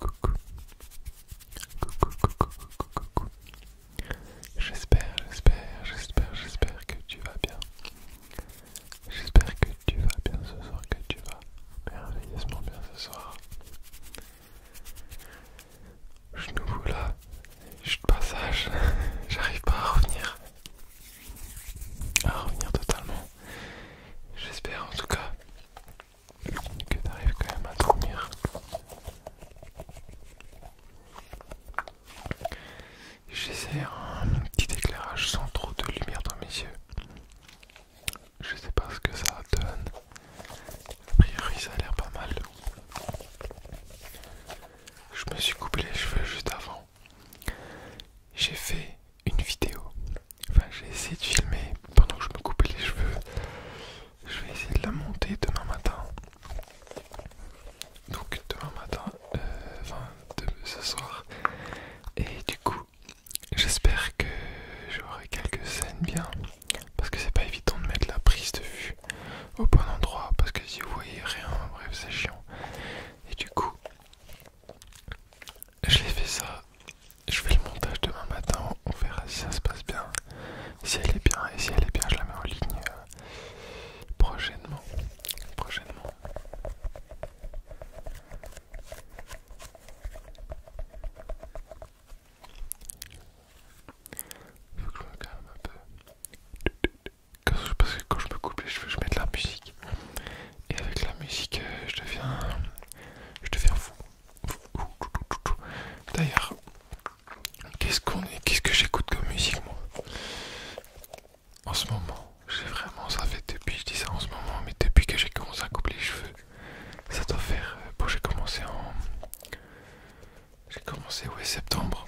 Coucou. Coucou, coucou, coucou, coucou. J'espère, j'espère, j'espère, j'espère que tu vas bien. J'espère que tu vas bien ce soir, que tu vas merveilleusement bien ce soir. Je nous là, je suis de passage, j'arrive pas à revenir. À revenir totalement. J'espère en tout cas que t'arrives quand même à dormir. J'essaie un petit éclairage sans trop de lumière dans mes yeux. Je sais pas ce que ça donne. A priori, ça a l'air pas mal. Je me suis coupé les cheveux juste avant. J'ai fait une vidéo. Enfin, j'ai essayé de filmer pendant que je me coupais les cheveux. Je vais essayer de la monter demain matin. Donc, demain matin, euh, enfin, ce soir. Et du coup, j'espère que j'aurai quelques scènes bien. Parce que c'est pas évident de mettre la prise de vue au bon endroit. Parce que si vous voyez rien, bref, c'est chiant. Et du coup, j'ai fait ça je fais le montage demain matin, on verra si ça se passe bien. Si elle est bien, et si elle est bien, je la mets en ligne euh, prochainement. Prochainement. Faut que je me calme un peu. parce que quand je me coupe les cheveux, je mets de la musique. Et avec la musique, euh, je deviens je deviens fou. D'ailleurs, qu'est-ce qu'on est, qu'est-ce que j'écoute comme musique moi En ce moment, j'ai vraiment ça fait depuis, je dis ça en ce moment, mais depuis que j'ai commencé à couper les cheveux, ça doit faire. Euh, bon, j'ai commencé en, j'ai commencé ouais septembre,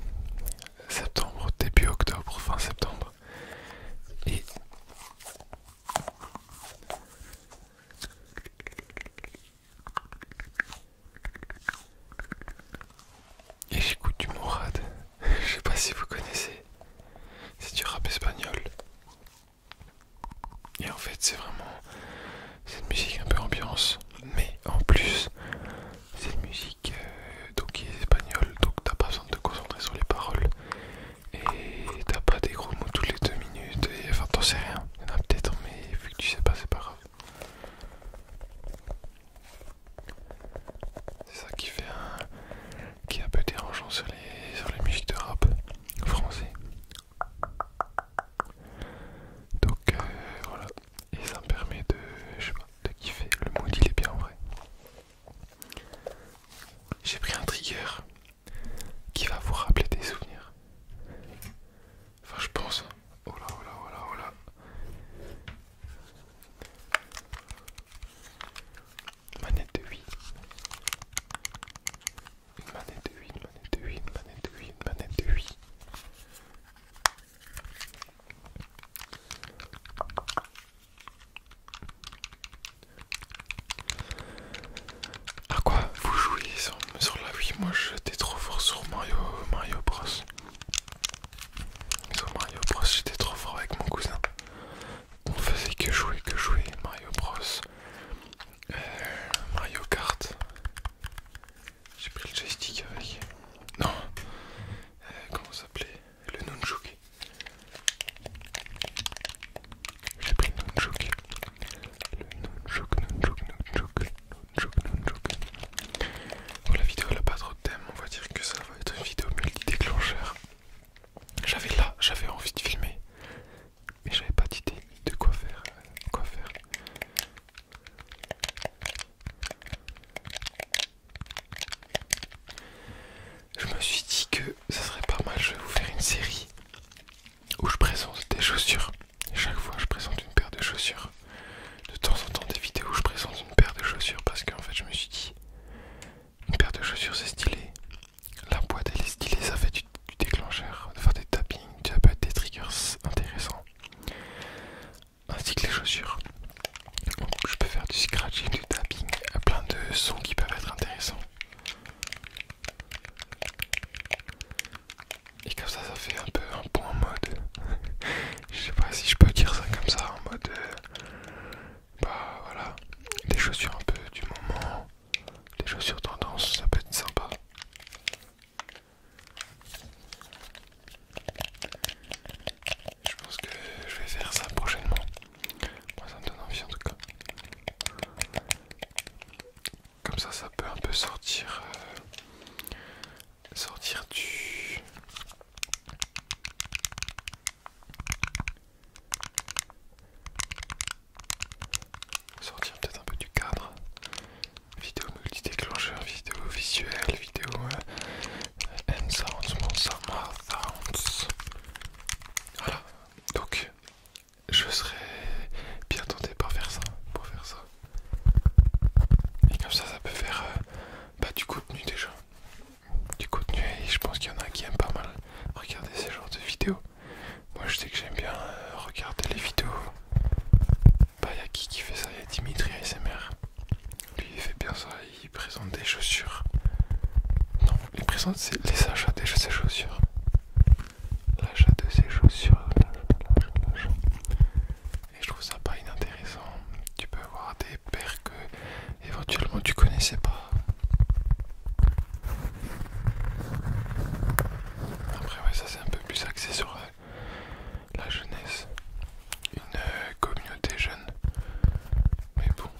septembre début octobre, fin septembre, et et j'écoute du Morad, Je sais pas si vous connaissez. C'est du rap espagnol. Et en fait, c'est vraiment cette musique un peu ambiance. Mais en plus, c'est une musique euh, donc qui est espagnole. Donc t'as pas besoin de te concentrer sur les paroles et t'as pas des gros mots toutes les deux minutes et enfin t'en sais rien, il y en a peut-être mais vu que tu sais pas c'est pas grave. C'est ça qui fait un, qui est un peu dérangeant sur les, sur les musiques de rap français. Donc euh, voilà, et ça me permet de, je sais pas, de kiffer. Le mood il est bien en vrai. J'ai pris un trigger qui va vous rappeler des souvenirs. Enfin, je pense. Oh là, oh là, oh là, oh là. Manette de 8. Une manette de 8, une manette de 8, une manette de 8, une manette de 8. Ah quoi vous jouez sur, la vie Moi j'étais trop fort sur Mario, Mario Bros. Sur Mario Bros j'étais trop fort avec mon cousin. On faisait que jouer, que jouer Mario Bros. Euh, Mario Kart. J'ai pris le joystick avec. Non. Euh, comment ça s'appelait Le Nunchuk. J'ai pris Nunchuk. Le Nunchuk, Nunchuk, Nunchuk, Nunchuk, Nunchuk. Bon, oh, la vidéo elle n'a pas trop de thème, on va dire que ça va être une vidéo multi-déclencheur. J'avais là, j'avais envie de filmer, mais j'avais pas d'idée de quoi faire. De euh, quoi faire. Je me suis dit que ça serait pas mal, je vais vous faire une série où je présente des chaussures. chaque fois, je présente une paire de chaussures. De temps en temps, des vidéos où je présente une paire de chaussures parce qu'en fait, je me suis dit, une paire de chaussures c'est stylé. La boîte elle est stylée, ça fait du, déclencheur, de faire des tappings, ça peut être des triggers intéressants. Ainsi que les chaussures. Donc, je peux faire du scratching, du tapping, plein de sons qui peuvent être intéressants. Et comme ça, ça fait un peu un point en mode. je sais pas si je peux dire ça comme ça, en mode. Euh, bah voilà, des chaussures un peu du moment, des chaussures tendance, ça peut être sympa. Je pense que je vais faire ça prochainement. Moi ça me donne envie en tout cas. Comme ça ça peut un peu sortir euh, sortir du sortir peut-être un peu du cadre. Vidéo multi-déclencheur, vidéo visuelle, vidéo M euh, sounds, sounds, sounds, sounds. Donc je serais bien tenté par faire ça, pour faire ça. Et comme ça ça peut faire euh, bah, du contenu déjà. Du contenu et je pense qu'il y en a qui aiment pas mal regarder ce genre de vidéos. Moi je sais que j'aime bien euh, regarder les vidéos. Bah a qui qui fait ça, y a Dimitri ASMR. Lui il fait bien ça, il présente des chaussures. Non, il présente les achats de ses chaussures. L'achat de ses chaussures. Et je trouve ça pas inintéressant. Tu peux avoir des paires que éventuellement tu connaissais pas. Après ouais ça c'est un peu plus axé sur euh, la, jeunesse. Une euh, communauté jeune. Mais bon,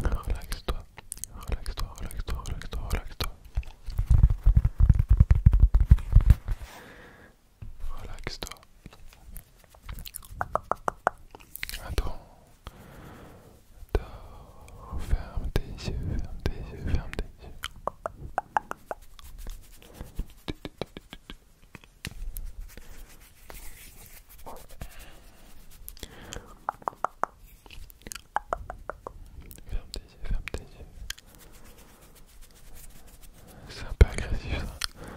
Relaxe-toi, relaxe-toi, relaxe-toi, relaxe-toi, relaxe-toi. Dors, ferme tes yeux, ferme tes yeux, ferme tes yeux. Ferme tes yeux, ferme tes yeux. C'est un peu agressif ça.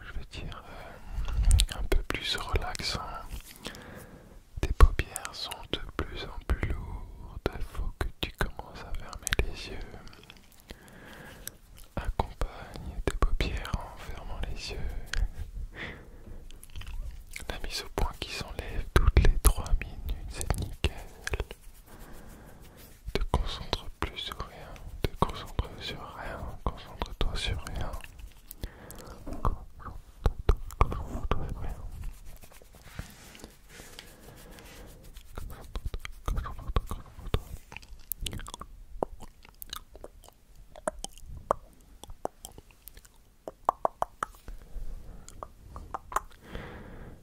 Je veux dire euh, un peu plus relaxant. Tes paupières sont de plus en plus lourdes, il faut que tu commences à fermer les yeux. Accompagne tes paupières en fermant les yeux. La mise au point qui s'enlève toutes les 3 minutes, c'est nickel. Te concentre plus sur rien, te concentre sur rien, concentre-toi sur rien.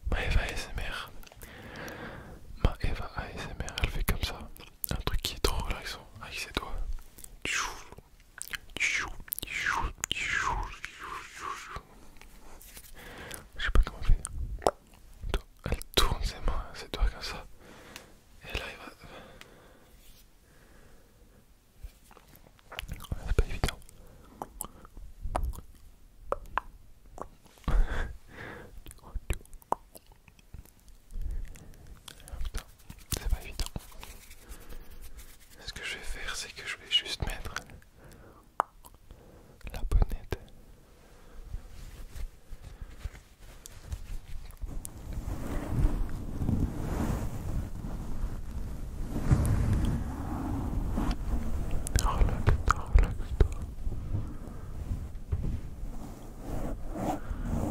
Ma Eva ASMR. Eva ASMR, elle fait comme ça. Un truc qui est trop relaxant avec ses doigts. Je sais pas comment faire. Elle tourne c'est moi, c'est toi comme ça. pas Putain, c'est pas évident. Ce que je vais faire, c'est que je vais juste mettre la bonnette. Relaxe-toi, relaxe-toi.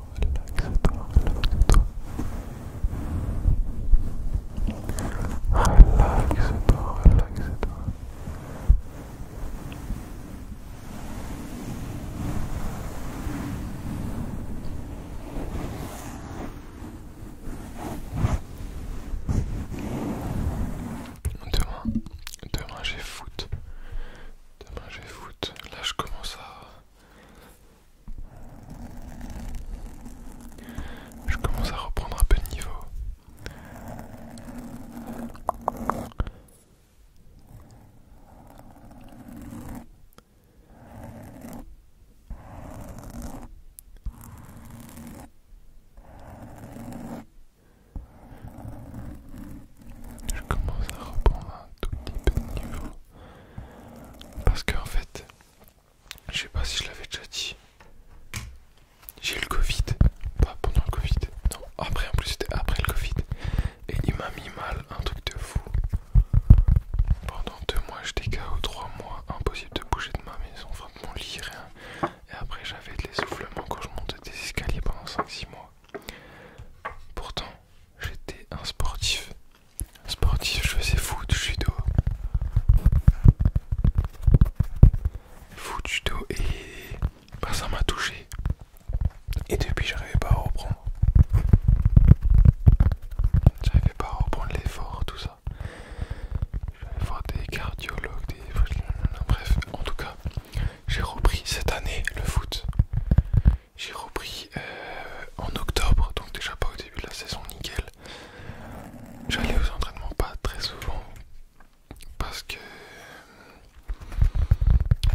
relaxe-toi, relaxe-toi. Relaxe-toi, relaxe-toi. Demain, demain j'ai foot. Demain j'ai foot. Là je commence à je commence à reprendre un peu de niveau. Je commence à reprendre un tout petit peu de niveau. Parce qu'en en fait, je sais pas si je l'avais déjà dit. J'ai eu le Covid, pas pendant le Covid, non, après en plus c'était après le Covid. Et il m'a mis mal un truc de fou. Pendant deux mois j'étais KO, trois mois, impossible de bouger de ma maison, enfin de mon lit, rien. Et après j'avais de l'essoufflement quand je montais des escaliers pendant 5-6 mois. Pourtant j'étais un sportif, Sportif, je faisais foot, judo. Foot, judo et bah, ça m'a touché. Et depuis, j'arrivais pas à reprendre. J'arrivais pas à reprendre l'effort, tout ça. J'allais voir des cardiologues, des. Bref, en tout cas, j'ai repris cette année le foot. J'ai repris euh, en octobre, donc déjà pas au début de la saison, nickel. J'allais aux entraînements pas très souvent parce que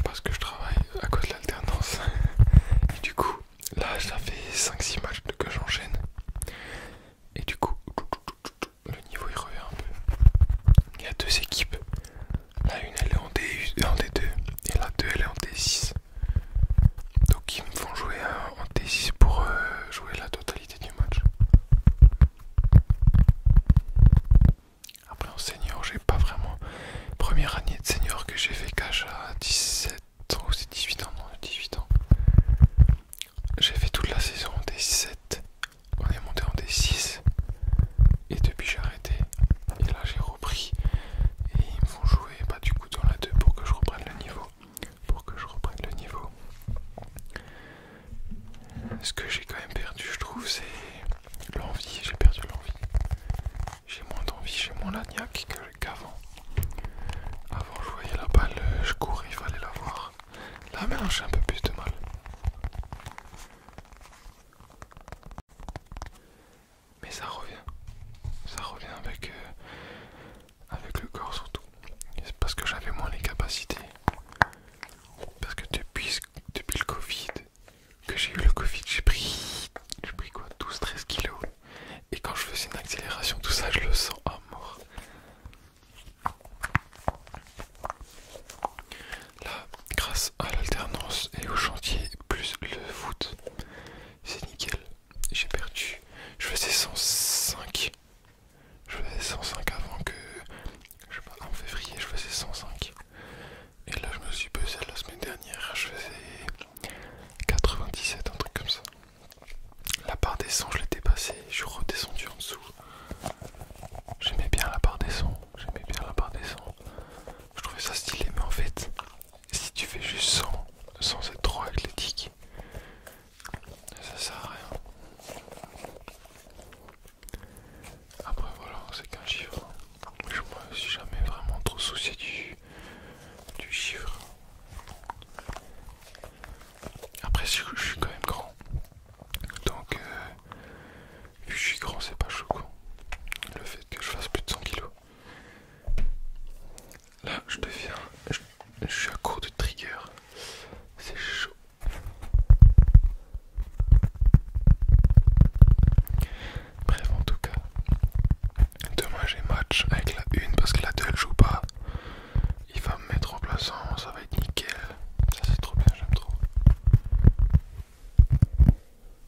parce que je travaille à cause de l'alternance. Et du coup, là, ça fait 5-6 matchs que j'enchaîne. Et du coup, le niveau il revient un peu. Il y a deux équipes la une elle est en, D, 2 et la deux elle est en D6. Donc ils me font jouer en D6 pour euh, jouer la totalité du match. Après en senior, j'ai pas vraiment. Première année de senior que j'ai fait cache à 17 ans ou c'est 18 ans, non 18 ans. J'ai fait toute la saison en D7. On est monté en D6. Et depuis j'arrête et là j'ai repris et ils me font jouer pas bah, du coup dans la 2 pour que je reprenne le niveau pour que je reprenne le niveau ce que j'ai quand même perdu je trouve c'est l'envie j'ai perdu l'envie j'ai moins d'envie j'ai moins l'agnac qu'avant avant je voyais la balle je courais il fallait la voir là maintenant j'ai un peu plus de mal mais ça revient. Ça revient avec, euh, avec le corps surtout. Parce que j'avais moins les capacités. Parce que depuis, depuis le Covid, que j'ai eu le Covid, j'ai pris, pris quoi 12-13 kilos. Et quand je faisais une accélération, tout ça, je le sens à mort. Là, grâce à l'alternance et au chantier plus le foot. C'est nickel. J'ai perdu. Je faisais 105. Je faisais 105 avant que... Je sais pas, en février, je faisais 105. Et là, je me suis pesé la semaine dernière. Je faisais 97, un truc comme ça. La part des 100, je l'ai dépassée. Je suis redescendu en dessous. J'aimais bien la part des 100. J'aimais bien la part des 100. Je trouvais ça stylé, mais en fait, si tu fais juste 100 sans être trop athlétique, ça sert à rien. Après, voilà, c'est qu'un chiffre. Je me suis jamais vraiment trop soucié du, du chiffre. Après, je, suis quand même grand. Donc, euh, Vu je suis grand, c'est pas choquant. Le fait que je fasse plus de 100 kilos. Là, je deviens. Je, suis à court de trigger. C'est chaud. Bref, en tout cas, demain j'ai match avec la une parce que la deux elle joue pas. Il va me mettre en plaçant, ça va être nickel. Ça c'est trop bien, j'aime trop.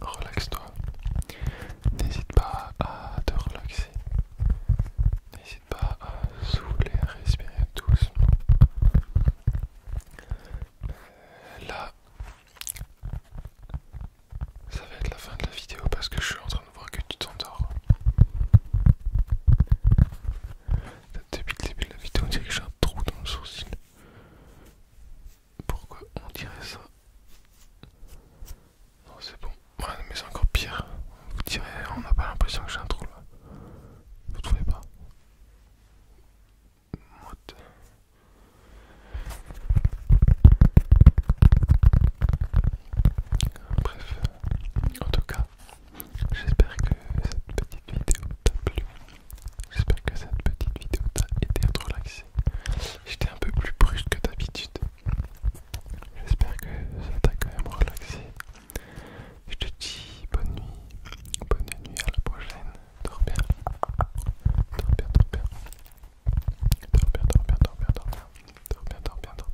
Relaxe-toi. N'hésite pas à te relaxer. N'hésite pas à souffler, à respirer doucement. Euh, là, ça va être la fin de la vidéo parce que je suis en train on de voir que tu t'endors. Depuis le début de la vidéo, on dirait que j'ai un trou dans le sourcil. Pourquoi on dirait ça Non, c'est bon. Ouais, mais c'est encore pire. Vous direz, on n'a pas l'impression que j'ai un trou là. Vous trouvez pas Bref, en tout cas, J'espère que cette petite vidéo t'a plu. J'espère que cette petite vidéo t'a aidé à te relaxer. J'étais un peu plus brusque que d'habitude. J'espère que ça t'a quand même relaxé. Je te dis bonne nuit. Bonne nuit à la prochaine. Dors bien. Dors bien, dors bien. Dors bien, dors bien, dors bien, dors bien. Dors bien, dors bien, dors bien.